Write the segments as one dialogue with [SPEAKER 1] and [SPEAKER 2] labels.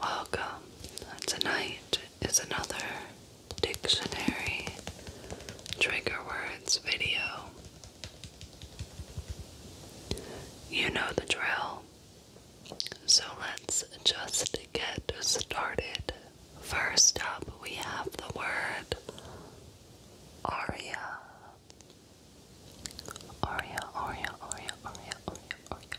[SPEAKER 1] Welcome. Tonight is another dictionary trigger words video. You know the drill. So let's just get started. First up, we have the word aria. Aria, aria, aria, aria, aria, aria.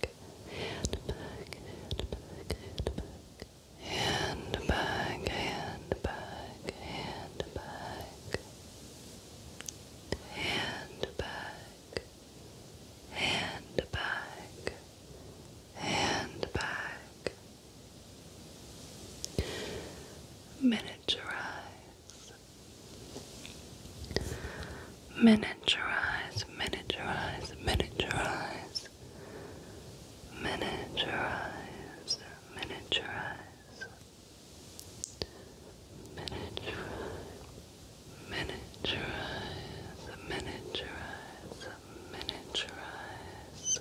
[SPEAKER 1] back, and back, and back, and back. And back, and back, and back, and back, and back, and back. Miniaturize miniaturize, miniaturize, miniaturize, miniaturize, miniaturize, miniaturize, miniaturize, miniaturize, miniaturize,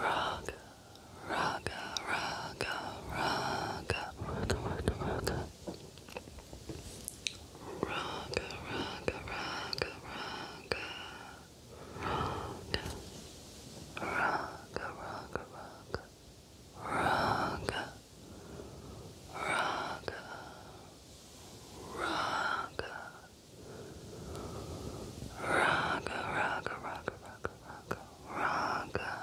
[SPEAKER 1] rock. Raga, raga, raga, raga, raga, Raga, raga, raga, raga. Raga, raga, raga, raga. Raga, raga, raga. Raga, raga, raga, raga, raga. Raga,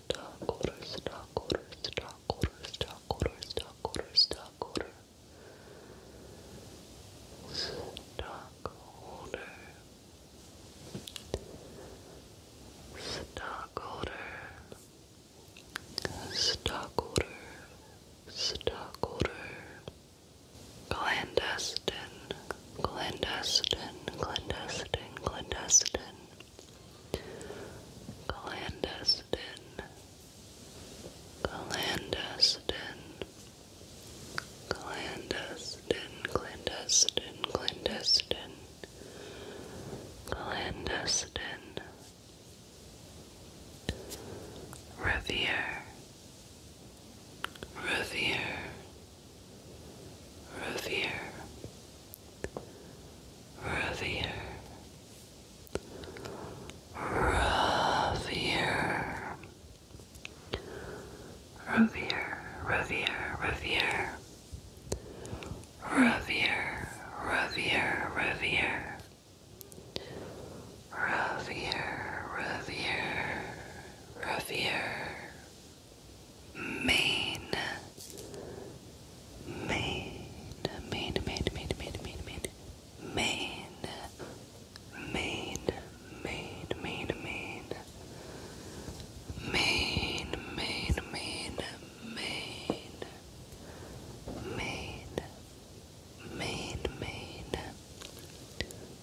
[SPEAKER 1] stockholder, stockholder, stockholder, stockholder, stockholder, stockholder, stockholder, stockholder, stockholder, stockholder, clandestine, clandestine, clandestine, clandestine. Clandestine, clandestine, clandestine, clandestine, clandestine, clandestine. Revere, revere revere, revere, revere, revere, revere, revere. Revere, revere, revere. Revere, revere, revere, main main main main main main main main main main main main main main main main main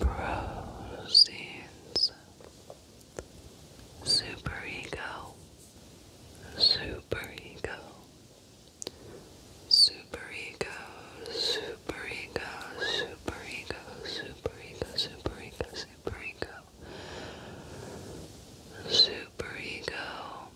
[SPEAKER 1] Proceeds Superego Superego Superego Superego Superego Superego Superego Superego Superego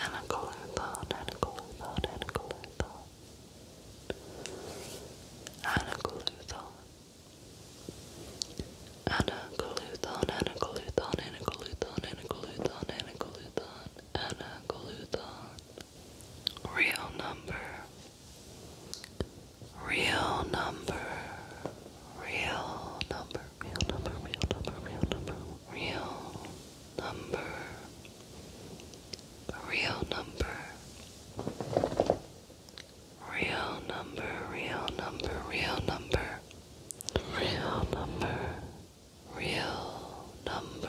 [SPEAKER 1] and a cooler thought, and a cooler thought, and a cooler thought, and a Real number, real number, real number, real number, real number, real number, real number, real number, real number, real number, real number, real number, real number,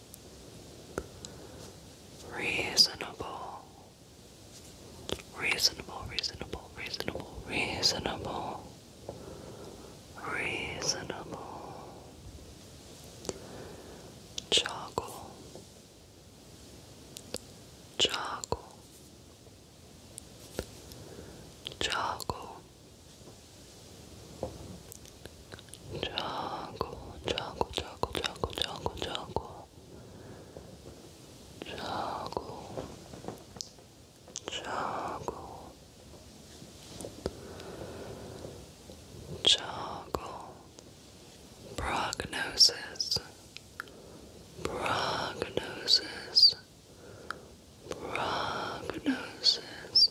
[SPEAKER 1] Reasonable. Reasonable, reasonable, reasonable, reasonable. Reasonable. Joggle. Joggle. Joggle. 자고 자고 자고 자고 자고 자고 자고 자고 자고 prognosis prognosis prognosis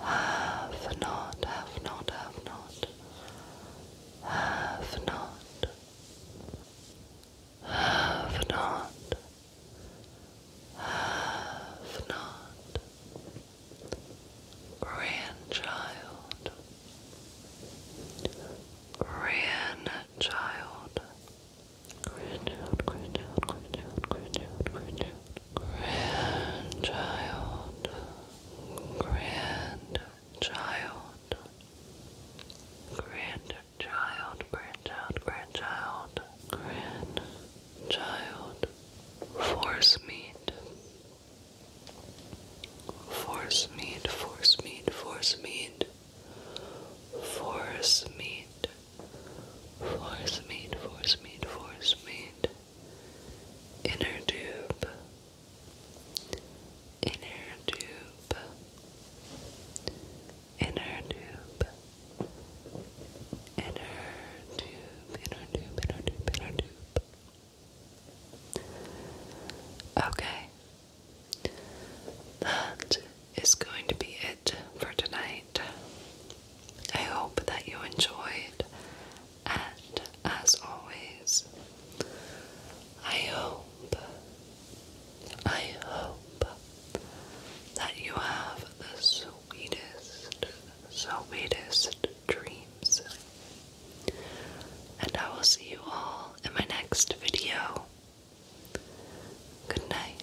[SPEAKER 1] have not, have not, have not, have not, have not, have not, grandchild, grandchild, grandchild, grandchild, grandchild, grandchild, grandchild grandchild, grandchild, grandchild, grandchild, grandchild, grandchild, force meat, force meat, force meat, force meat, force meat. Force me, force me, force me. Inner tube. Inner tube. Inner tube. Inner tube. Inner tube. Inner tube. Inner tube. Okay. That is going to be for tonight. I hope that you enjoyed, and as always, I hope, I hope that you have the sweetest, sweetest dreams. And I will see you all in my next video. Good night.